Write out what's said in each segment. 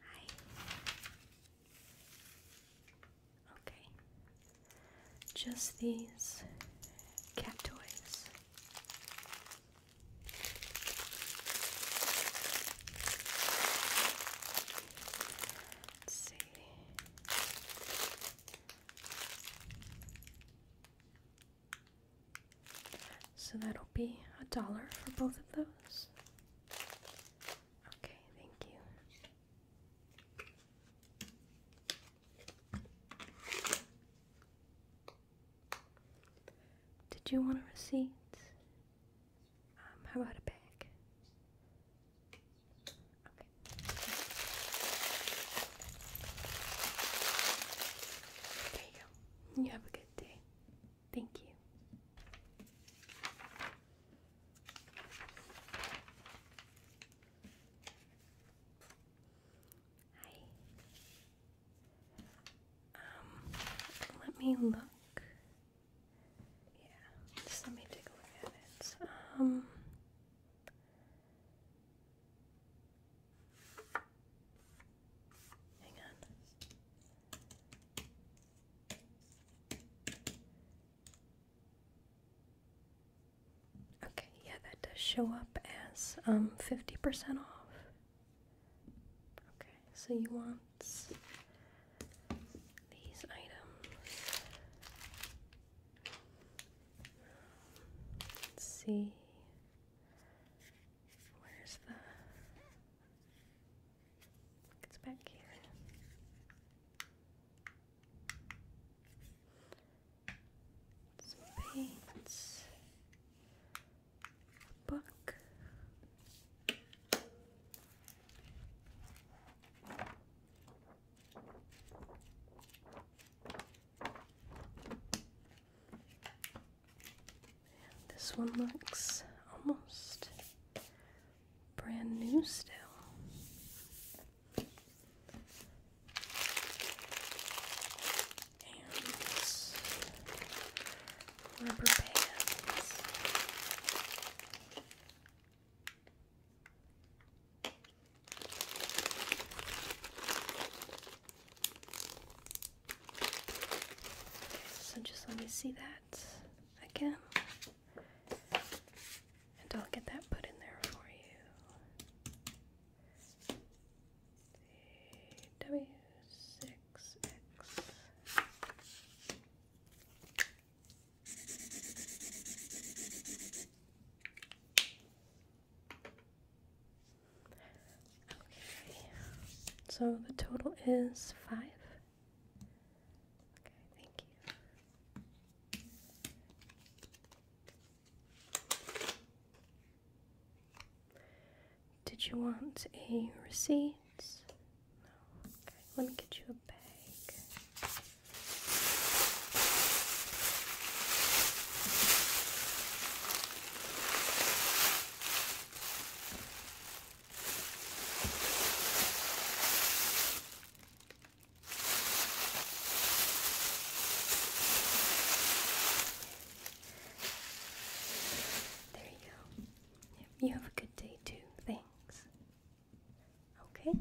Hi. Okay. Just these cat toys. So that'll be a dollar for both of those. Okay, thank you. Did you want a receipt? Um, how about a bag? Okay. There you go. You have a good day. Thank you. Hi. Um, let me look. Yeah, just let me take a look at it. Um, hang on. Okay, yeah, that does show up as um 50% off. Okay, so you want these items. Let's see. Where's the. It's back here. paints. book. This one looks almost brand new still. rubber bands. So just let me see that again, and I'll get that put in there for you. W six X. Okay, so the total is five. Okay, thank you. Did you want a receipt let me get you a bag. There you go. you have a good day too. Thanks. Okay?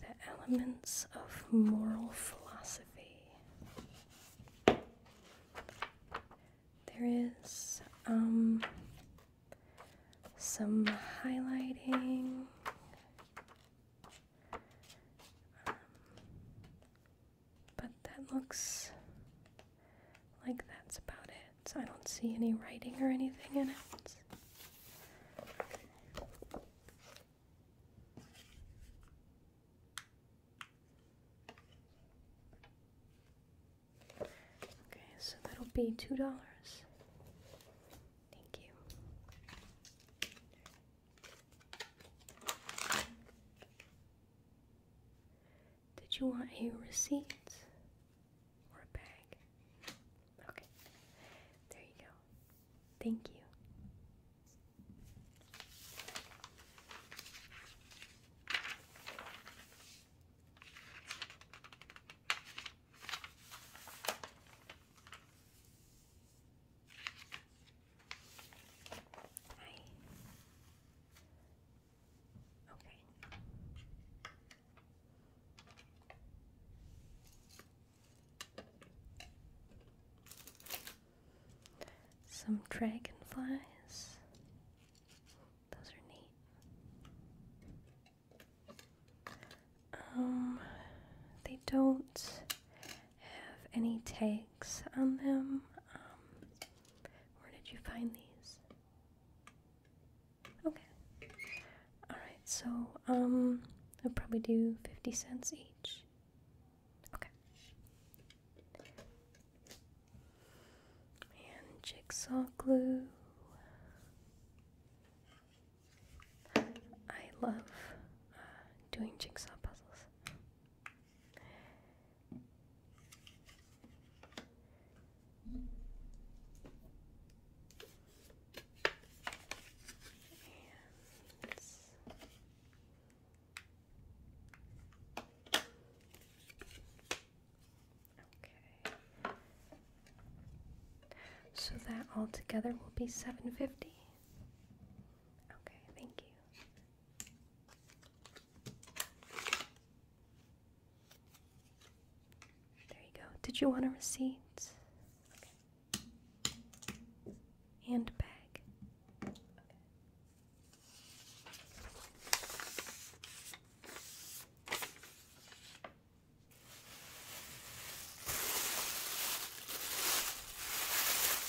The elements of moral philosophy. There is um, some highlighting. Um, but that looks like that's about it. So I don't see any writing or anything in it. Okay, so that'll be two dollars. Thank you. Did you want a receipt or a bag? Okay, there you go. Thank you. Some dragonflies. Those are neat. Um, they don't have any takes on them. Um, where did you find these? Okay. Alright, so um, I'll probably do 50 cents each. Okay. And jigsaw glue. I love uh, doing jigsaw puzzles. So that altogether will be 750. Okay, thank you. There you go. Did you want a receipt? Handbag.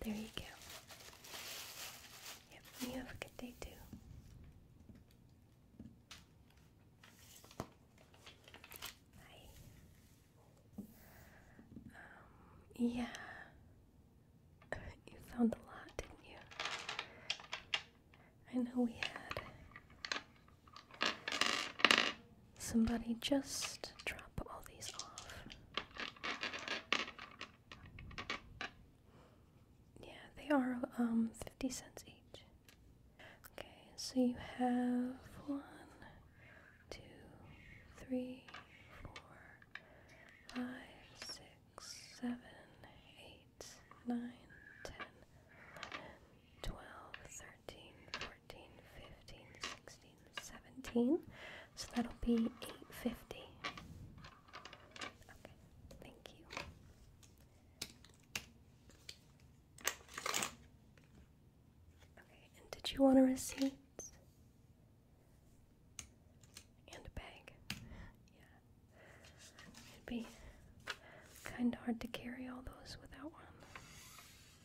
There you go. Yep, you have a good day too. Hi. Um, yeah. you found a lot, didn't you? I know we had Somebody just drop all these off. Yeah, they are um 50 cents each. Okay, so you have one, two, three, four, five, six, seven, eight, nine, ten, eleven, 12, So that'll be 850. Okay, thank you. Okay, and did you want a receipt? And a bag. Yeah. It'd be kind of hard to carry all those without one.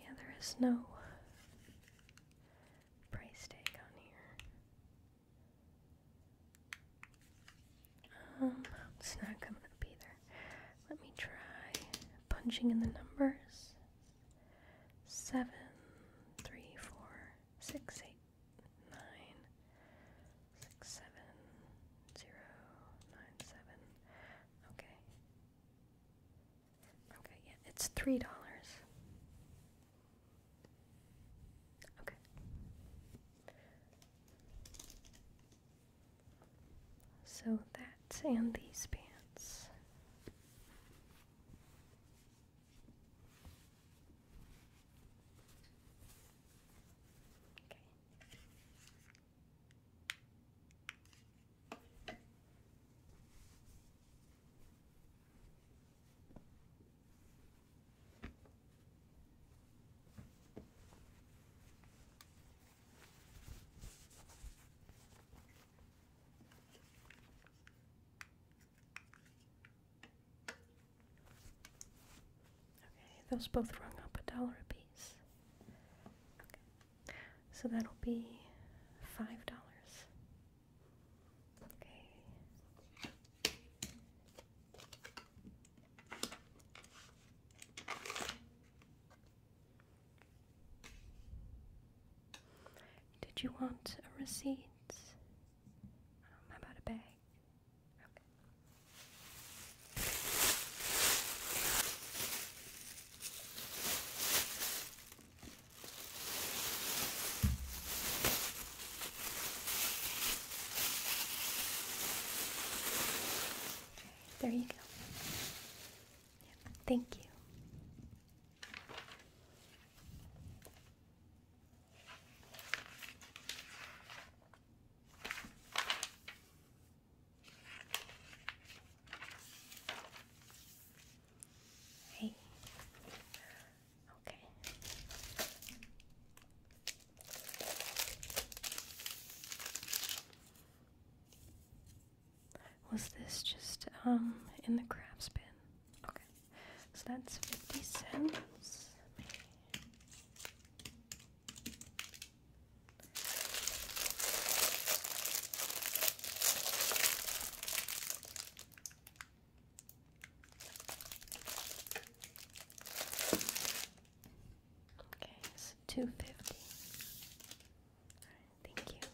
Yeah, there is no price tag on here. Um, it's not coming up either. Let me try punching in the numbers. Seven, three, four, six, eight, nine, six, seven, zero, nine, seven. Okay. Okay, yeah, it's three dollars. Okay. So that's and these pants. Okay. Okay, those both rung up a dollar a piece. So that'll be $5. Okay. Did you want a receipt? Um, how about a bag? Okay. There you go. thank you. Hey. Okay. Was this just um in the crab's bin? Okay. So that's 50 cents. Okay, it's two fifty. Right, thank you.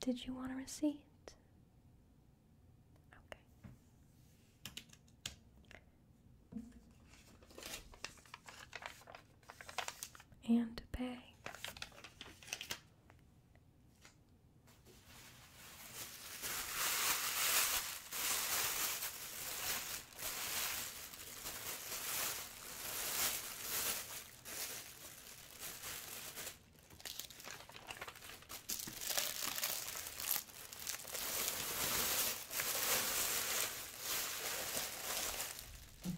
Did you want a receipt? Okay and pay. There you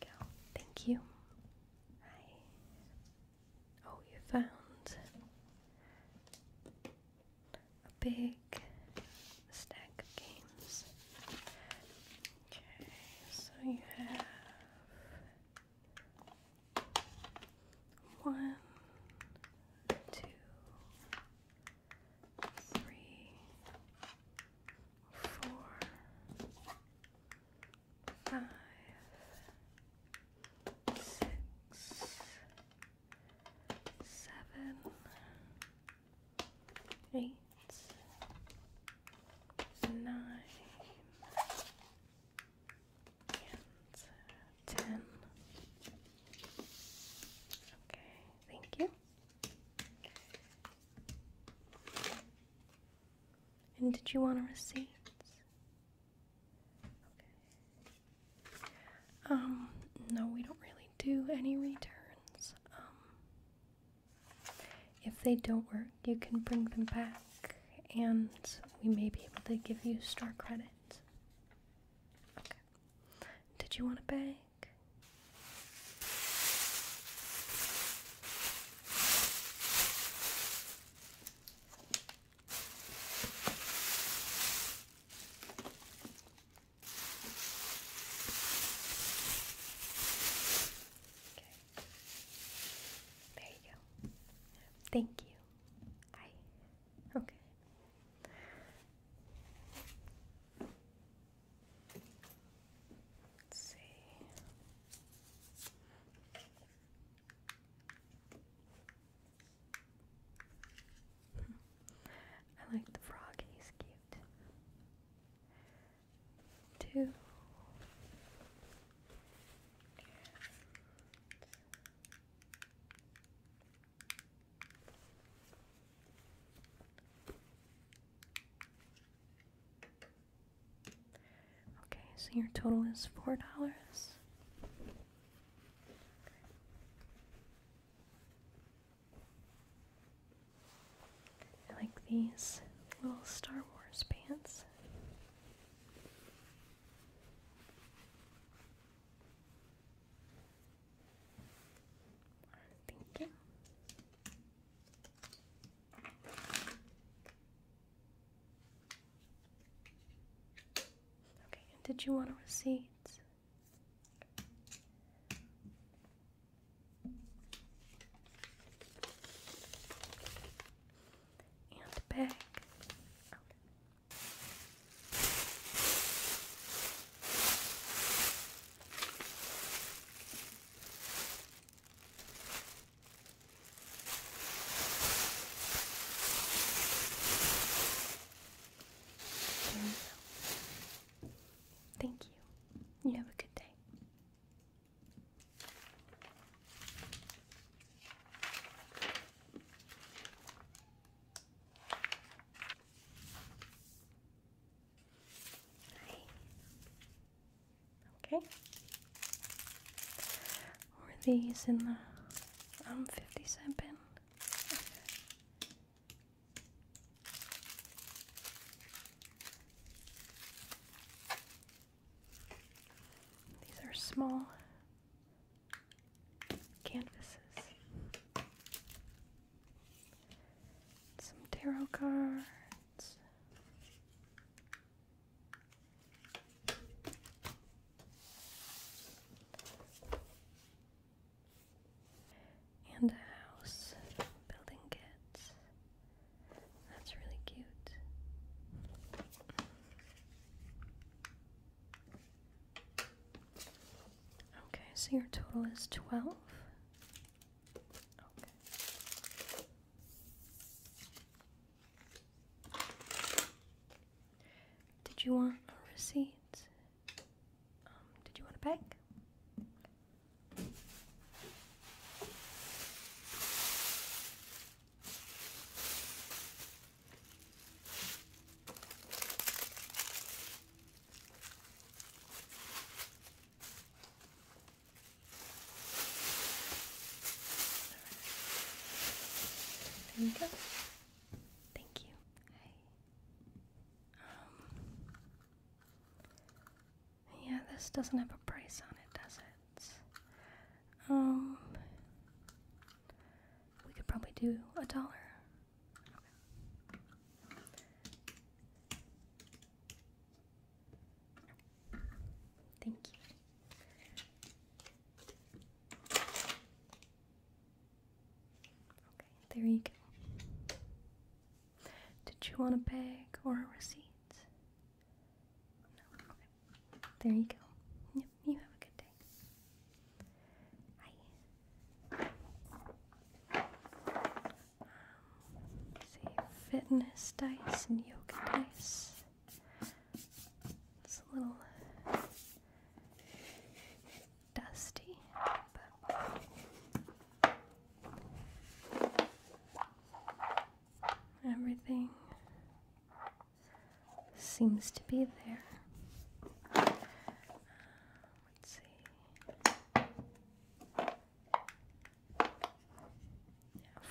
go. Thank you. Hi. Oh, you found a big stack of games. Okay, so you have one, two, three, four, five, six, seven, eight, nine, and ten. Okay, thank you. And did you want a receipt? Um, no, we don't really do any returns. Um, if they don't work, you can bring them back, and we may be able to give you store credit. Okay. Did you want a bag? Okay. There you go. Thank you. I okay. Let's see. I like the frog, he's cute. Two. Okay, so your total is four dollars. I like these little Star Wars pants thinking. Okay, did you want a receipt? And bag. Thank you. You have a good day. Okay. Were these in the um fifty cent bin? These are small canvases, some tarot cards. And a house building kit. That's really cute. Okay, so your total is 12. Okay. Did you want a receipt? Um, did you want a bag? There we go. Thank you. Hi. Um, yeah, this doesn't have a price on it, does it? Um, we could probably do a dollar. Thank you. Okay, there you go. Did you want a bag or a receipt? No. There you go. Yep. You have a good day. Hi. Um, see, fitness dice and yoga dice. It's a little dusty, but everything seems to be there. let's see.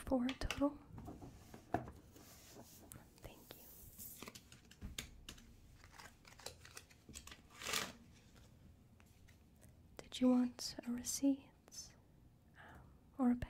four total. Thank you. Did you want a receipt um, or a bag?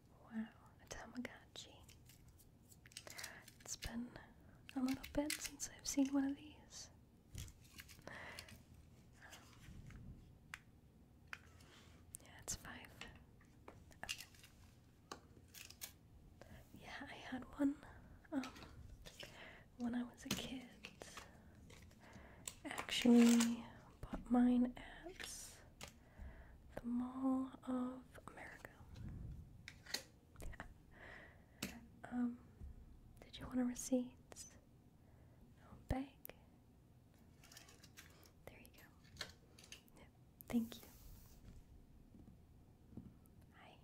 Wow, a Tamagotchi. It's been a little bit since I've seen one of these. Um, yeah, it's five. Yeah, I had one um, when I was a kid. Actually, bought mine at the Mall of America. Um, did you want a receipt? No bag. There you go. Yeah. Thank you. Hi.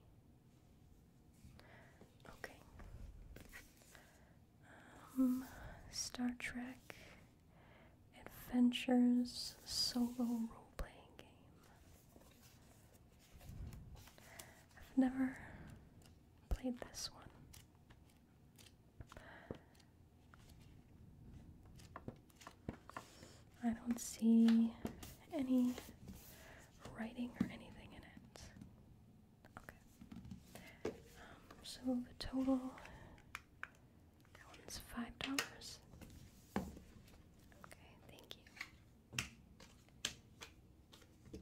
Okay. Um, Star Trek adventures solo role playing game. I've never played this one. I don't see any writing or anything in it. Okay. Um, so the total that one's five dollars. Okay, thank you.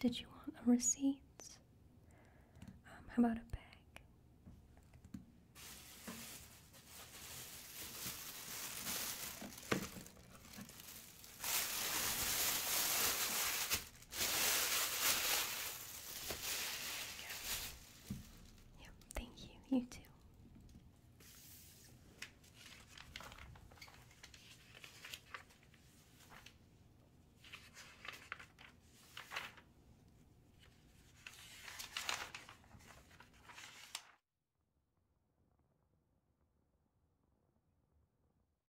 Did you want a receipt? Um, how about a bag? thank you. You too.